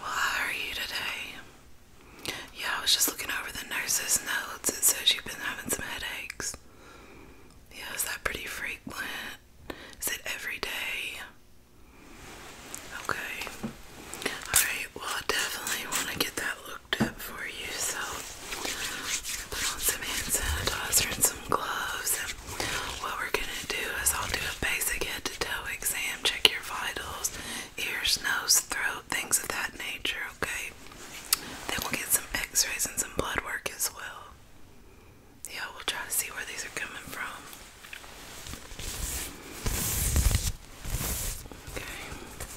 how are you today? Yeah, I was just looking over the nurse's notes. It says you've been having some headaches. Yeah, is that pretty frequent? Is it every day? Okay. Alright, well, I definitely want to get that up for you. So I put on some hand sanitizer and some gloves. what we're gonna do is I'll do a basic head to toe exam, check your vitals, ears, nose, throat, things of that nature, okay? Then we'll get some x-rays and some blood work as well. Yeah, we'll try to see where these are coming from. Okay.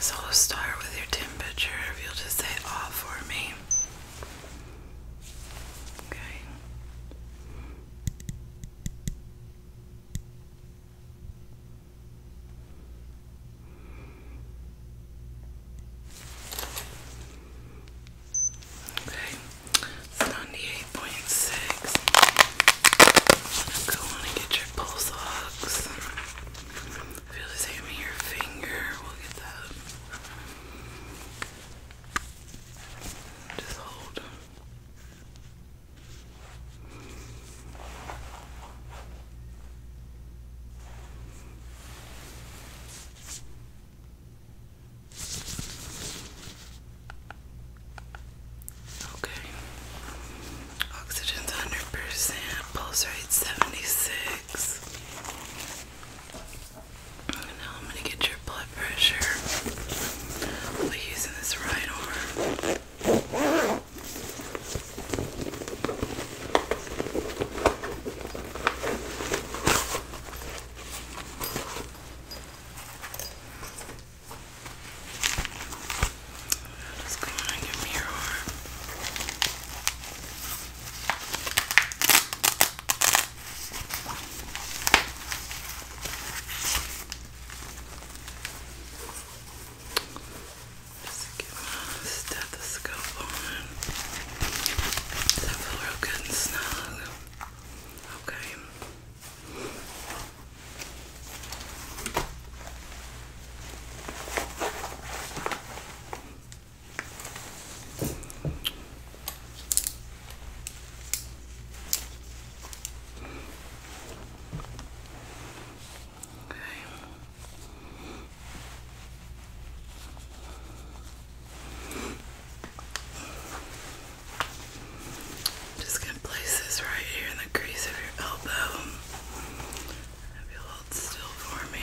So I'll start with your temperature if you'll just say off for me. Okay. Okay, 98.6. go on and get your pulse ox. Feel the same in your finger. We'll get that. Just hold. Okay. Oxygen's 100%, pulse rate 76. now I'm gonna get your blood pressure. I'll using this right arm. Just go on your mirror. Just get my stethoscope on. Does that feel real good and snug? Okay. Okay. just going to place this right here in the crease of your elbow. If you'll still for me.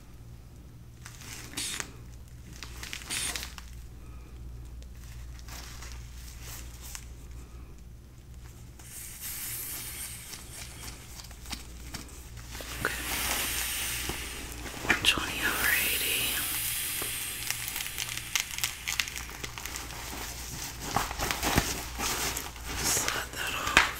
Okay. 20 over 80. Slide that off.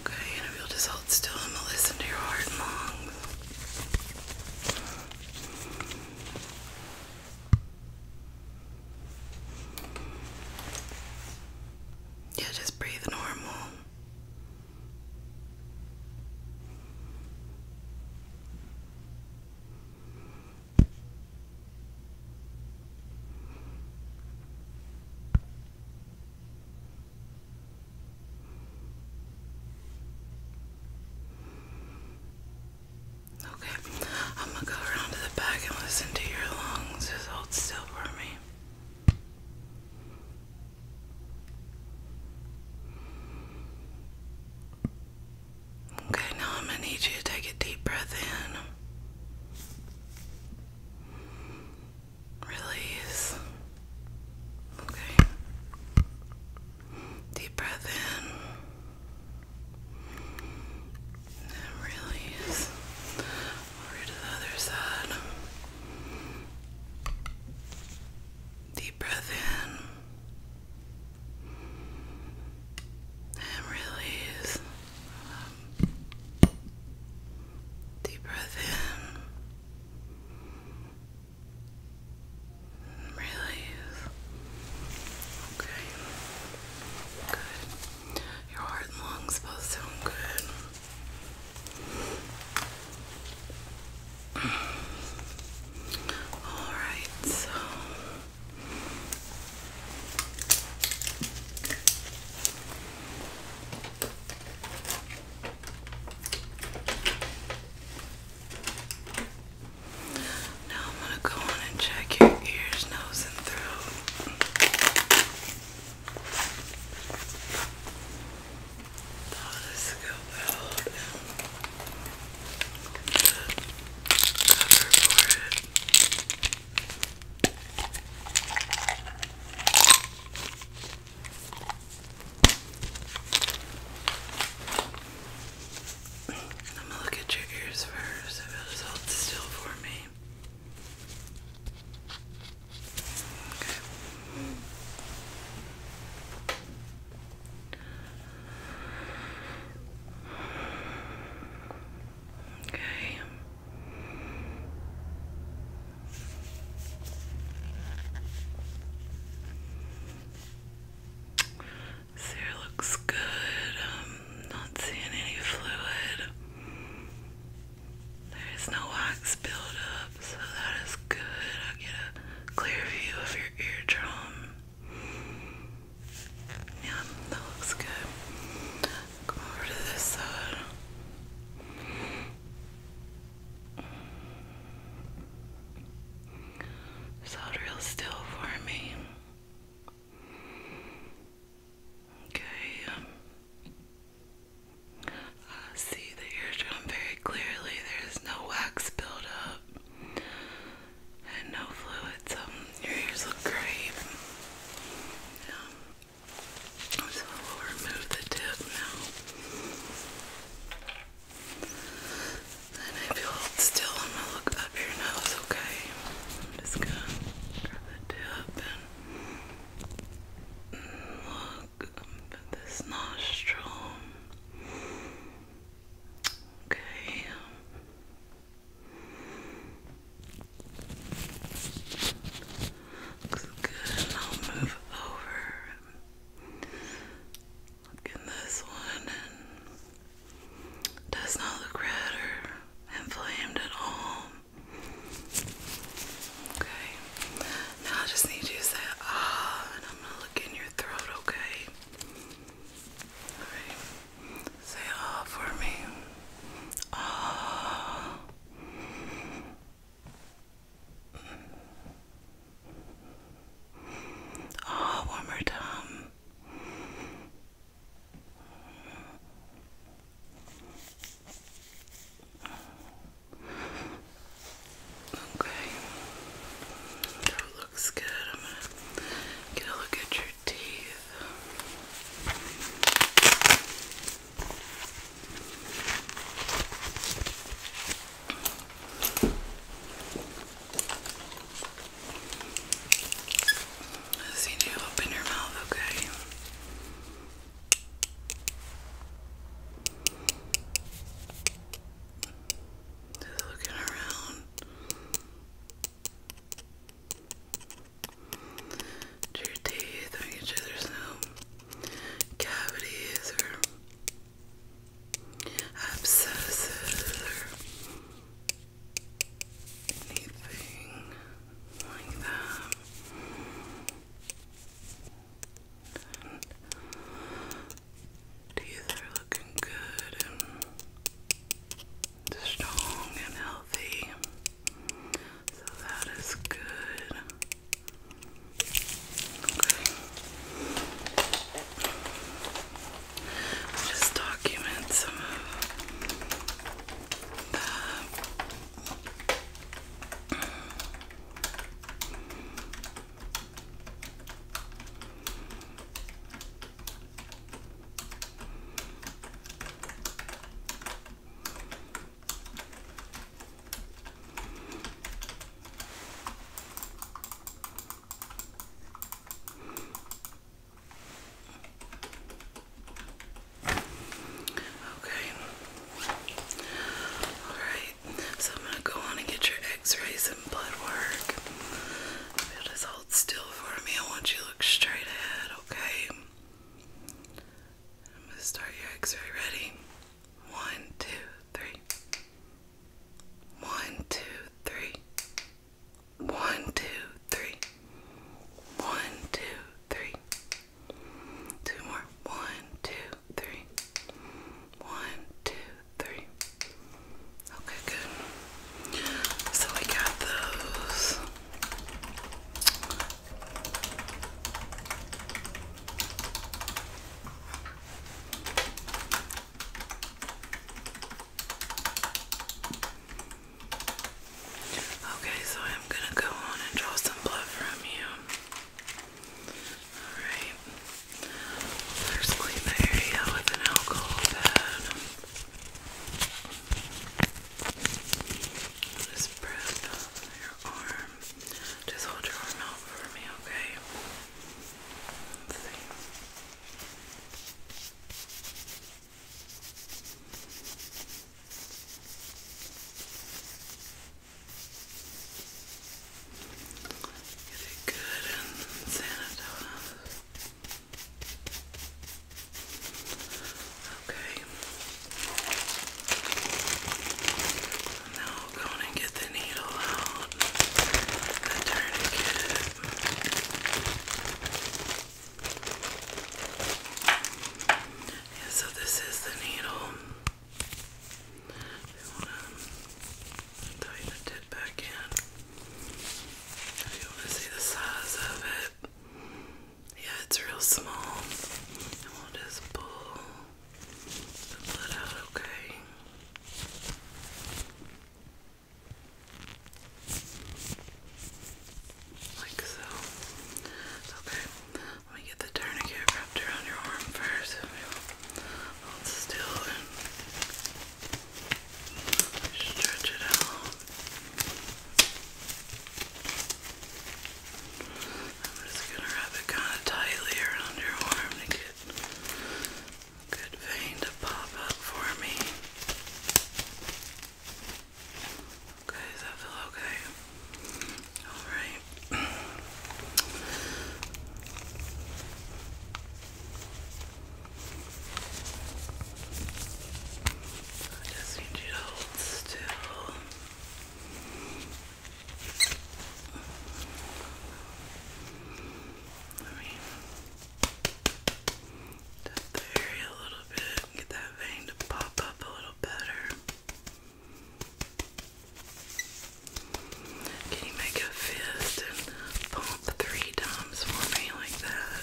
Okay, and if you'll just hold still, I'm gonna listen to your heart and lungs. Yeah, just breathe normal. Okay, I'm gonna go around to the back and listen to your lungs. Just hold still for me. Okay, now I'm gonna need you to take a deep breath in. Release. Okay. Deep breath in. And release. Over to the other side. Deep breath in. And release. deep breath in. Release. Okay. Good. Your heart and lungs both sound good. All right, so now I'm going to go on and check your ears, nose, and throat. Oh, this go out I'm gonna look at your ears first if it'll hold still for me. Okay. Okay. This here looks good. I'm not seeing any fluid. There's no wax buildup, so that is good. I get a clear view of your eardrum. Yeah, that looks good. Come over to this side. So real still for me. Okay. Um, I see the eardrum very clearly. There's no wax build and no fluids. Um, your ears look great. Um, so will remove the tip now. And if you hold still, I'm gonna look up your nose, okay? I'm just gonna grab the tip and look up this nostril. Okay. Um, looks good. I'll move over Look in this one and does not look red or inflamed at all. Okay. Now I just need you to say ah and I'm gonna look in your throat, okay? Say ah for me. Ah. Oh, one more time. Okay, looks good. I'm gonna get a look at your teeth let see you open your mouth, okay? looking around. your teeth, making sure no cavities or abscesses or anything like that. teeth are looking good and strong and healthy. So that is good. Just document some of the Okay. Alright, so I'm gonna go on and get your x-rays and blood work. just hold still for me, I want you to look straight ahead, okay? I'm gonna start your x-ray ready. One, two, three. One, two, three. One, two, three. One, two, three. Two more. One, two, three. One, two, three. Okay, good. So we got those. Okay, so I'm gonna go on and draw some blood from you. Alright. First clean the area with an alcohol pad. I'll prep your arm. Just hold your arm out for me, okay? let it good and sanitized. Okay. Now i gonna get the needle out, the tourniquet. so this is the needle. You wanna tighten it back in. If you wanna see the size of it. Yeah, it's real small. And we'll just pull the out, okay? Like so. Okay, let me get the tourniquet wrapped around your arm first. Hold still and stretch it out. I'm just gonna wrap it kind of tightly around your arm to get good, vein to pop up for me. Okay, does okay? All right. I just need you to hold still. Let me tap the a little bit get that vein to pop up a little better. Can you make a fist and pump three times for me like that?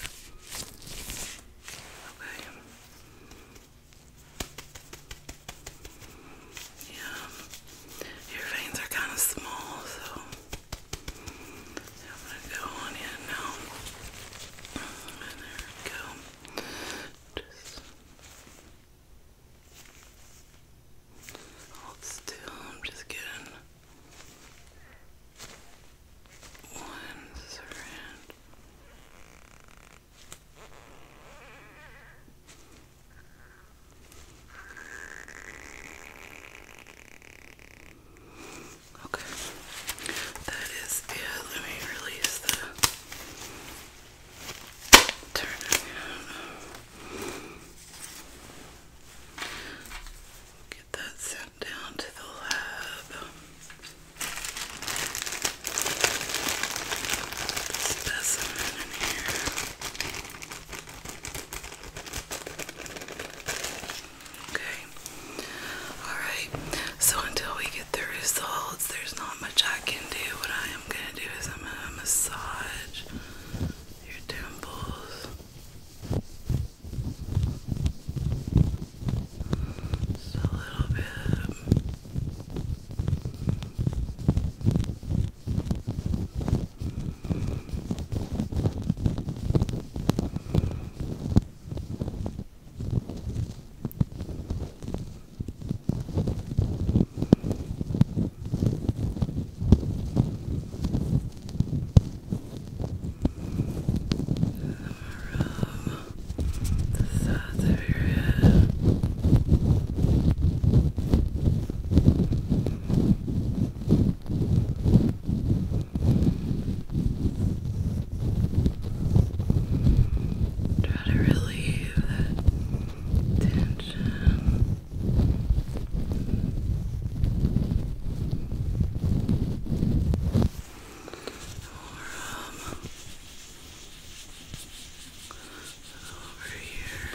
Okay. Yeah, your veins are kind of small, so I'm gonna go on in now. And there we go. Just hold still. I'm just getting one surround. Okay, that is it. Let me release the turn around. Get that sent down to the lab. Specimen in here. Okay. Alright. So until we get the results, there's not much I can do. What I am gonna do is I'm gonna massage your temples. Just a little bit. Around the sides of your head. Try to relieve that tension. Or, um, over here.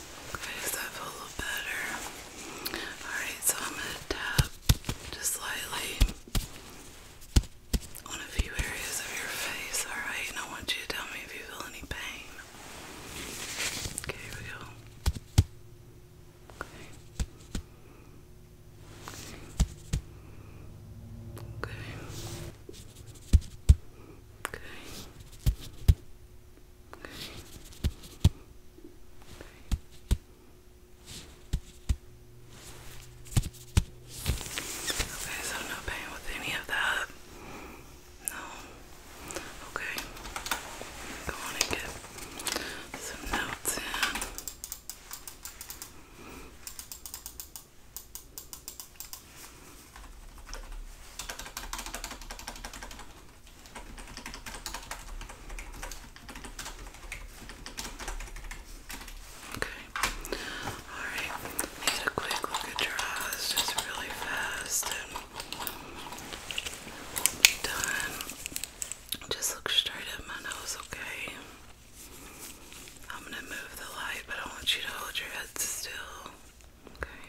Okay, so I a little better. Alright, so I'm gonna tap just slightly on a few areas of your face, alright? And I want you to tell me if you feel any pain. Okay, here we go. Okay. Okay. Okay. Okay. Okay, so no pain with any of that. No. Okay. Go on and get some notes in. Okay. Alright. Need a quick look at your eyes just really fast done. Just look straight at my nose, okay? I'm gonna move the light, but I want you to hold your head still. Okay.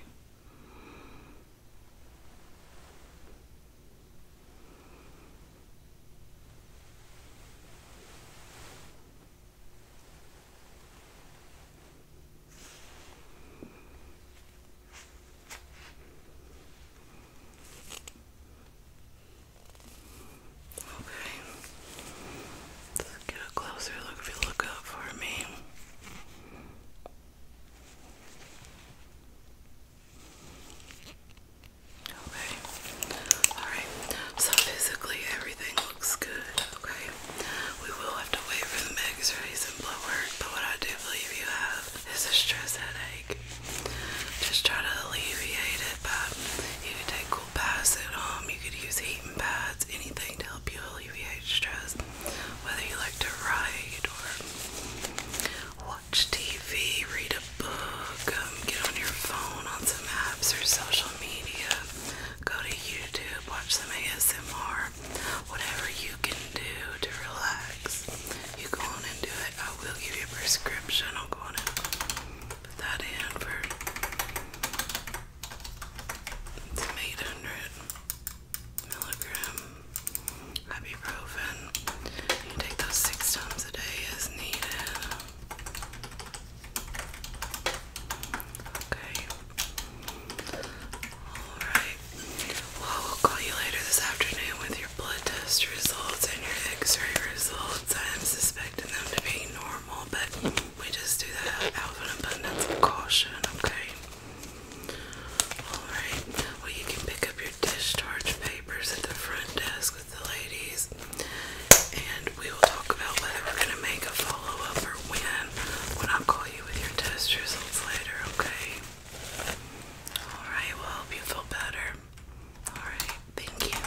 Okay. Let's get a closer look if you look up for me. Okay. Alright. So physically everything looks good, okay? We will have to wait for the x rays and blood work, but what I do believe you have is a stress headache. Just try to alleviate it by you could take cool baths at home, you could use heating pads, anything to help you alleviate stress. Whether you like to write or watch TV, read a book, um, get on your phone on some apps or social media, go to YouTube, watch some ASMR, whatever you can do to relax. You go on and do it. I will give you a prescription. I'll go on and put that in for it's 800 milligram ibuprofen. take those six times a day as needed. Okay. Alright. Well, we'll call you later this afternoon with your blood test results and your x ray results. I'm suspecting them to be normal, but we just do that out of an abundance of caution, okay? Alright, well, you can pick up your discharge papers at the front desk with the ladies, and we will talk about whether we're going to make a follow up or when. When i call you with your test results later, okay? Alright, we'll help you feel better. Alright, thank you.